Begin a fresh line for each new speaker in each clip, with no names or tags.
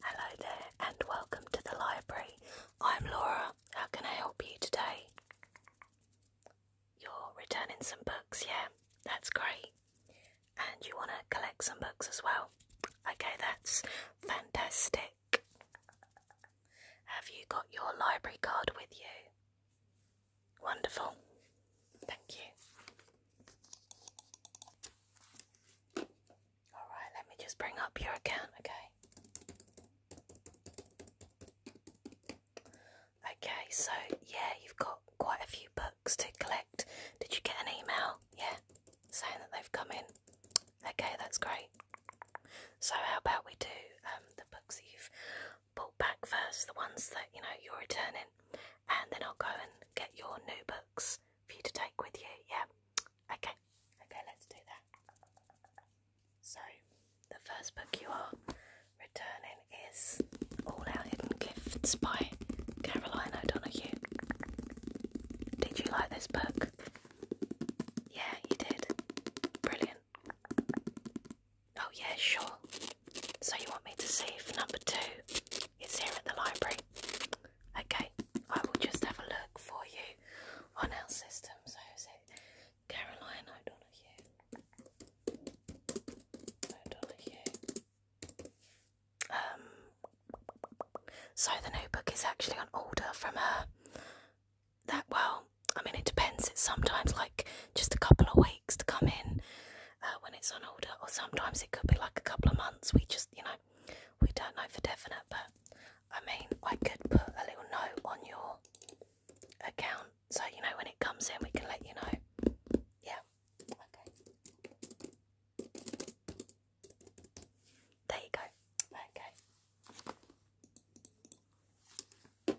Hello there, and welcome to the library. I'm Laura. How can I help you today? You're returning some books, yeah? That's great. And you want to collect some books as well? Okay, that's fantastic. Have you got your library card with you? Wonderful. Thank you. All right, let me just bring up your account, okay? Okay, so yeah, you've got quite a few books to collect. Did you get an email? Yeah, saying that they've come in. Okay, that's great. So how about we do um, the books that you've brought back first, the ones that you know you're returning, and then I'll go and get your new book for you to take with you. Yeah. Okay. Okay, let's do that. So, the first book you are returning is All Our Hidden Gifts by Caroline O'Donoghue. Did you like this book? Yeah, you did. Brilliant. Oh, yeah, sure. So, you want me to see number two it's here at the library. Okay, I will just have a look for you on our system. So is it Caroline O'Donoghue? O'Donoghue. Um, so the notebook is actually on order from her. That well, I mean, it depends. It's sometimes like just a couple of weeks to come in, uh, when it's on order, or sometimes it could be like a couple of months. We just, you know, we don't know for definite, but I mean, I could put a little note on your account so you know when it comes in, we can let you know. Yeah, okay. There you go. Okay. Right.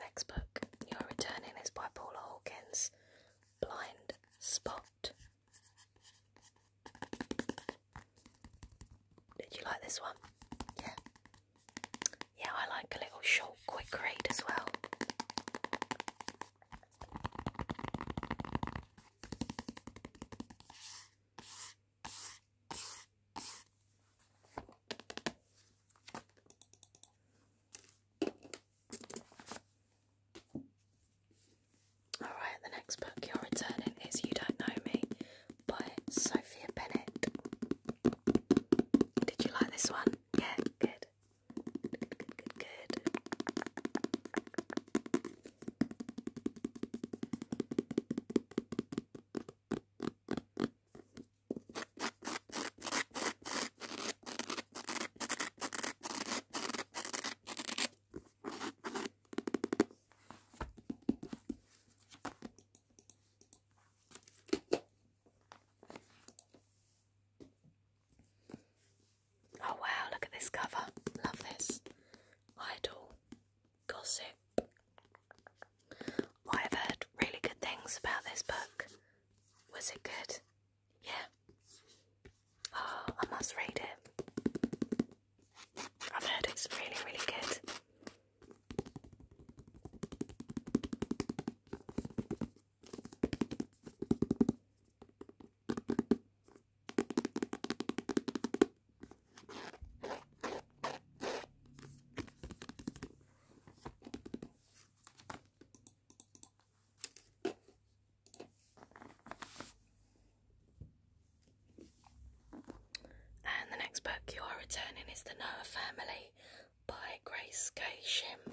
Next book you're returning is by Paula Hawkins, Blind Spot. Did you like this one? Yeah. Yeah, I like a little short, quick read as well. Alright, the next book you're returning is You Don't Know Me by Sophia Bennett. Did you like this one? Yeah, good. Good, good, good, good. Oh wow, look at this cover. Love this. Idol gossip. I've heard really good things about this book. Was it good? Yeah. Oh, I must read it. I've heard it's really, really good. And the next book you are returning is The Noah Family by Grace K. Shim.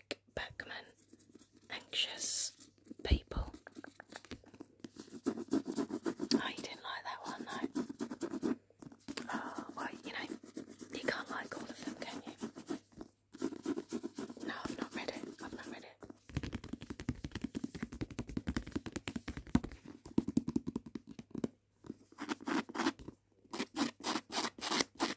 Eric Beckman, Anxious People. Oh, didn't like that one, no? Oh, you know, you can't like all of them, can you? No, I've not read it. I've not read it.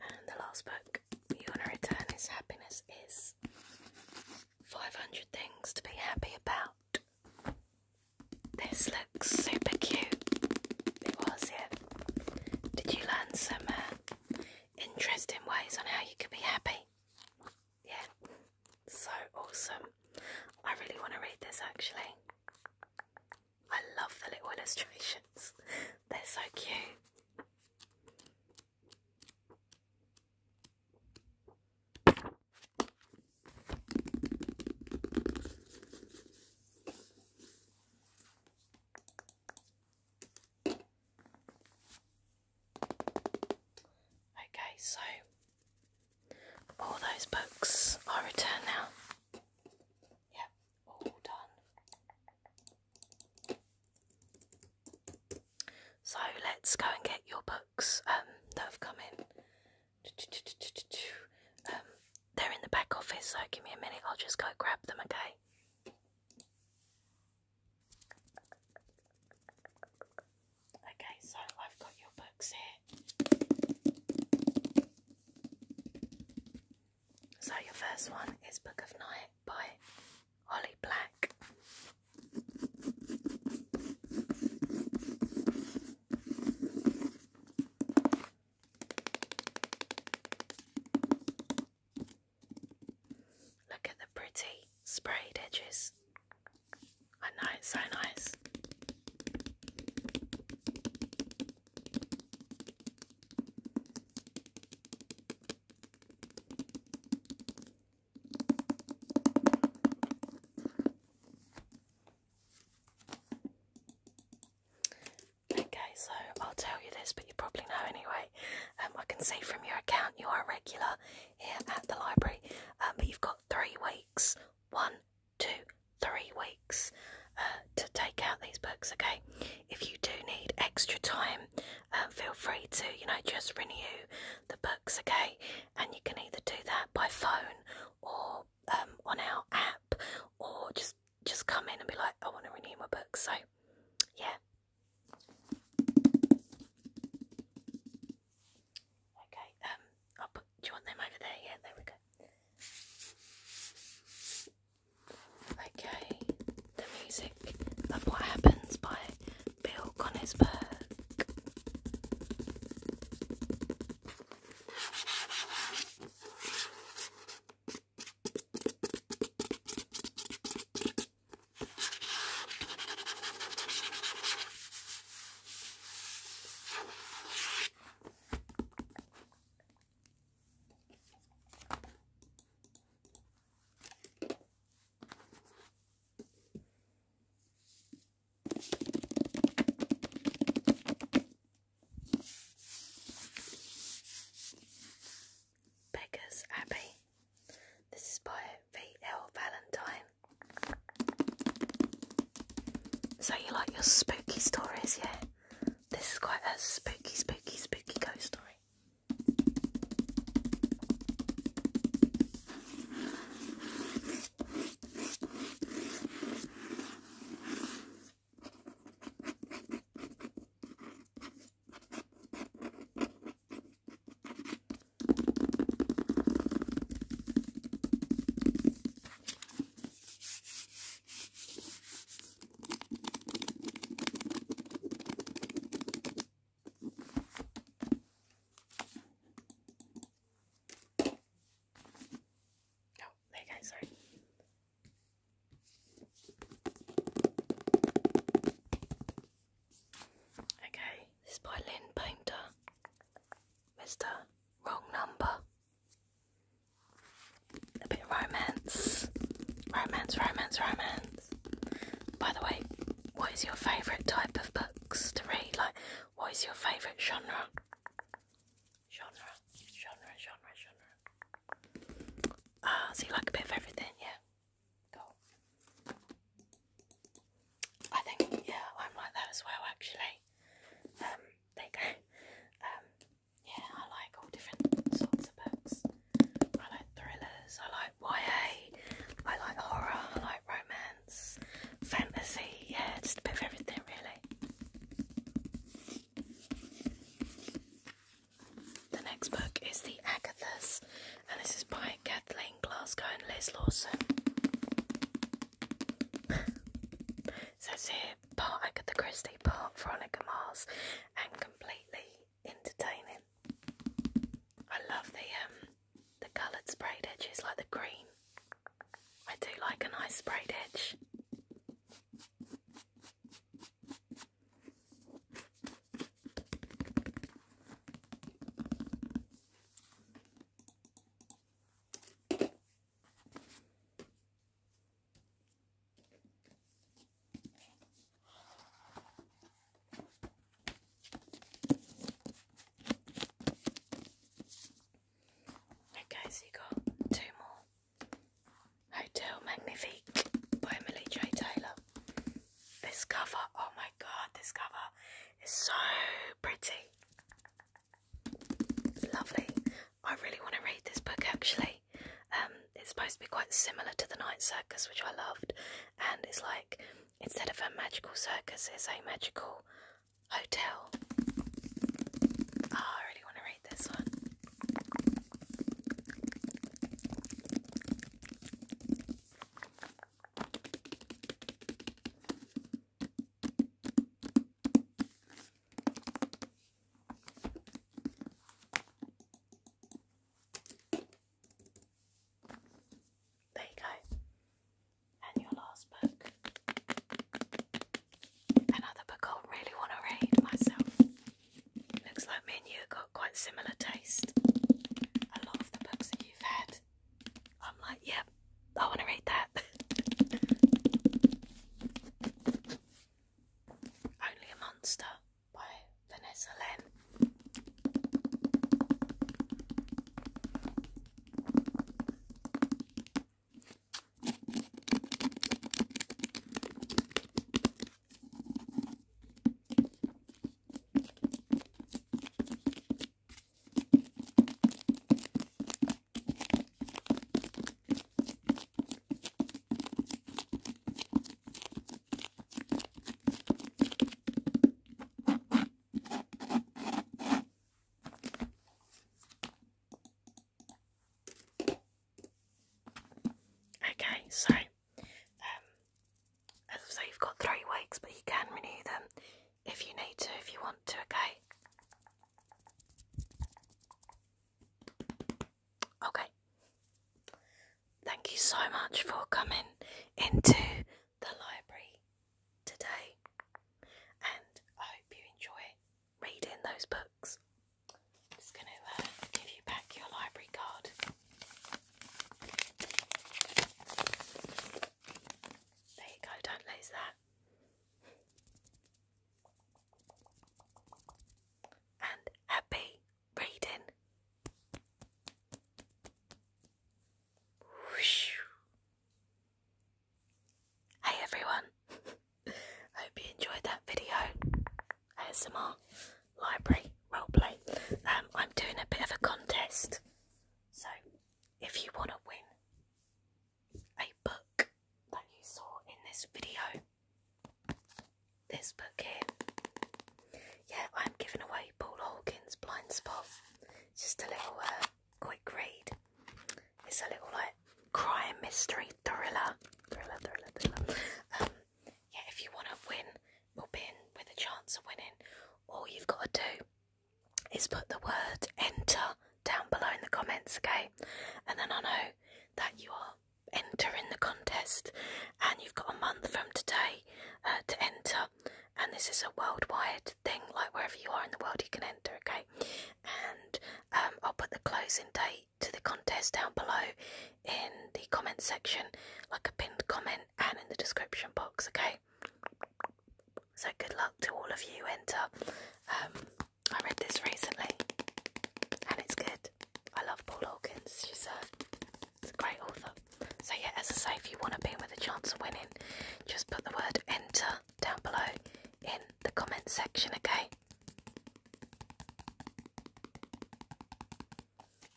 And the last book you want to return is Happiness Is 500 Things to Be Happy About. This looks super cute. It was, yeah. Did you learn some uh, interesting ways on how you could be happy? Yeah, so awesome. I really want to read this actually. I love the little illustrations. They're so cute. Okay, so all those books are returned now. Yep. So let's go and get your books um, that have come in. Um, they're in the back office, so give me a minute, I'll just go grab them, okay? Okay, so I've got your books here. So your first one is Book of Night by Holly Black. Look at the pretty sprayed edges. I know it's so nice. Okay, so I'll tell you this, but you probably know anyway. Um, I can see from your account you are a regular here at the library, um, but you've got three weeks one, two, three weeks uh, to take out these books. Okay, if you do need extra time, uh, feel free to you know just renew the books. Okay, and you can either do that by phone or um, on our app, or just just come in and be like, I want to renew my books. So yeah. Okay, um, do you want them over there? Yeah, there we go. Okay, the music of What Happens by Bill Konisberg. Beggar's Abbey. This is by V.L. Valentine. So you like your spooky stories, yeah? This is quite a spooky, spooky, spooky ghost story. Oh, there sorry. Okay, this is by Lynn Painter. Mr. Wrong Number. A bit of romance. Romance, romance, romance. By the way, what is your favourite type of books to read? Like, what is your favourite genre? Genre, genre, genre, genre. Ah, uh, so you like a bit of everything, yeah. Cool. I think, yeah, I'm like that as well, actually. Um, there you go. Um, yeah, I like all different sorts of books. I like thrillers, I like YA, I like horror, I like romance, fantasy, yeah, just a bit of everything really. The next book is The Agathas, and this is by Kathleen Glasgow and Liz Lawson. says here part I got the Christie, part Veronica Mars, and completely entertaining. I love the um the coloured sprayed edges, like the green. I do like a nice sprayed edge. Okay, so you got two more. Hotel Magnifique by Emily J. Taylor. This cover, oh my god, this cover is so pretty. Lovely. I really want to read this book actually. Um, it's supposed to be quite similar to The Night Circus, which I loved, and it's like instead of a magical circus, it's a magical hotel. Ah, I really want to read this one. There you go, and your last book. Another book I really want to read myself. Looks like me and you got quite similar taste. A lot of the books that you've had, I'm like, yep, I want to read that. Only a Monster by Vanessa Lynn. Okay, so um, as I say, you've got three weeks, but you can renew them if you need to, if you want to, okay? Okay. Thank you so much for coming into the library today, and I hope you enjoy reading those books. I'm just going to uh, give you back your library card. There you go, don't lose that and happy reading. Hey everyone, hope you enjoyed that video. ASMR library roleplay. Um, I'm doing a bit of a contest, so if you want to win a book that you saw in this video. This book here. Yeah, I'm giving away Paul Hawkins' Blind Spot. just a little uh, quick read. It's a little like crime mystery thriller. Thriller, thriller, um, yeah, if you want to win or in with a chance of winning, all you've got to do is put the word enter down below in the comments, okay? And then I know that you are entering the contest and you've got a month from today uh, to enter. And this is a worldwide thing, like wherever you are in the world, you can enter, okay? And um, I'll put the closing date to the contest down below in the comment section, like a pinned comment, and in the description box, okay? So good luck to all of you. Enter. Uh, um, I read this recently, and it's good. I love Paul Hawkins. She's a, great author. So yeah, as I say, if you want to be with a chance of winning, just put the word enter down below in the comment section. Okay.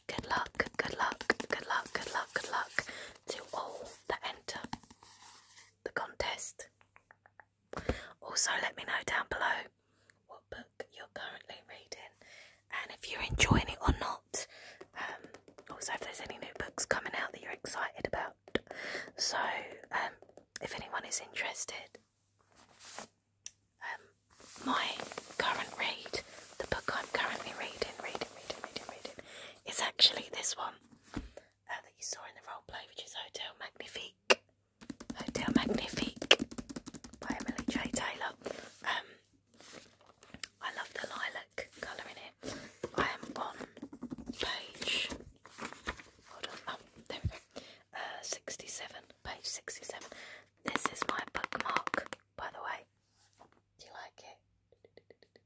Good luck. Good luck. Good luck. Good luck. Good luck to all that enter the contest. Also, let me know down below what book you're currently reading and if you're enjoying it or not. Um, also, if there's any new books coming out that you're excited about. So, um, if anyone is interested, um, my current read, the book I'm currently reading, reading, reading, reading, reading, is actually this one. Uh, that you saw in the role play, which is Hotel Magnifique. Hotel Magnifique by Emily J. Taylor. Um, I love the lilac colour in it. I am on page. Hold on. Oh, uh, 67. Page 67. This is my bookmark, by the way. Do you like it?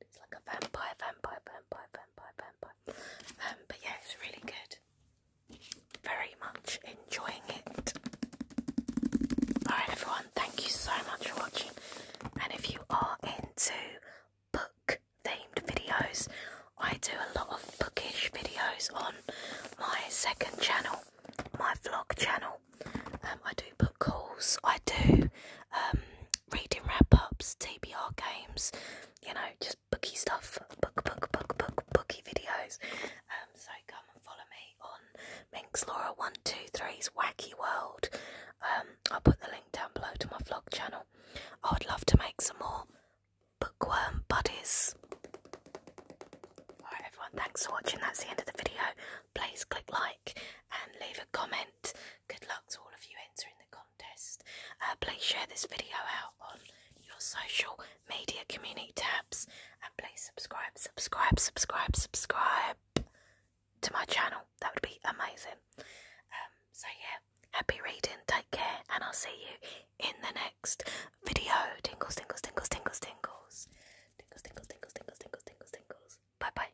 It's like a vampire, vampire, vampire, vampire, vampire. Um, but yeah, it's really good. Very much enjoying it. Alright, everyone, thank you so much for watching. And if you are into book themed videos, I do a lot of bookish videos on my second channel, my vlog channel. Um, I do book hauls, I do um, reading wrap ups, TBR games, you know, just bookie stuff, book, book, book, book, bookie videos. Um, so come and follow me on Minx Laura One Two Three's Wacky World. Um, I'll put the link down below to my vlog channel. I would love to make some more bookworm buddies. Alright, everyone, thanks for watching. That's the end of the video please click like and leave a comment. Good luck to all of you entering the contest. Uh, please share this video out on your social media community tabs and please subscribe, subscribe, subscribe, subscribe to my channel. That would be amazing. Um, so, yeah, happy reading, take care, and I'll see you in the next video. Tingles, tingles, tingles, tingles, tingles. Tingles, tingles, tingles, tingles, tingles, tingles, tingles. Bye bye.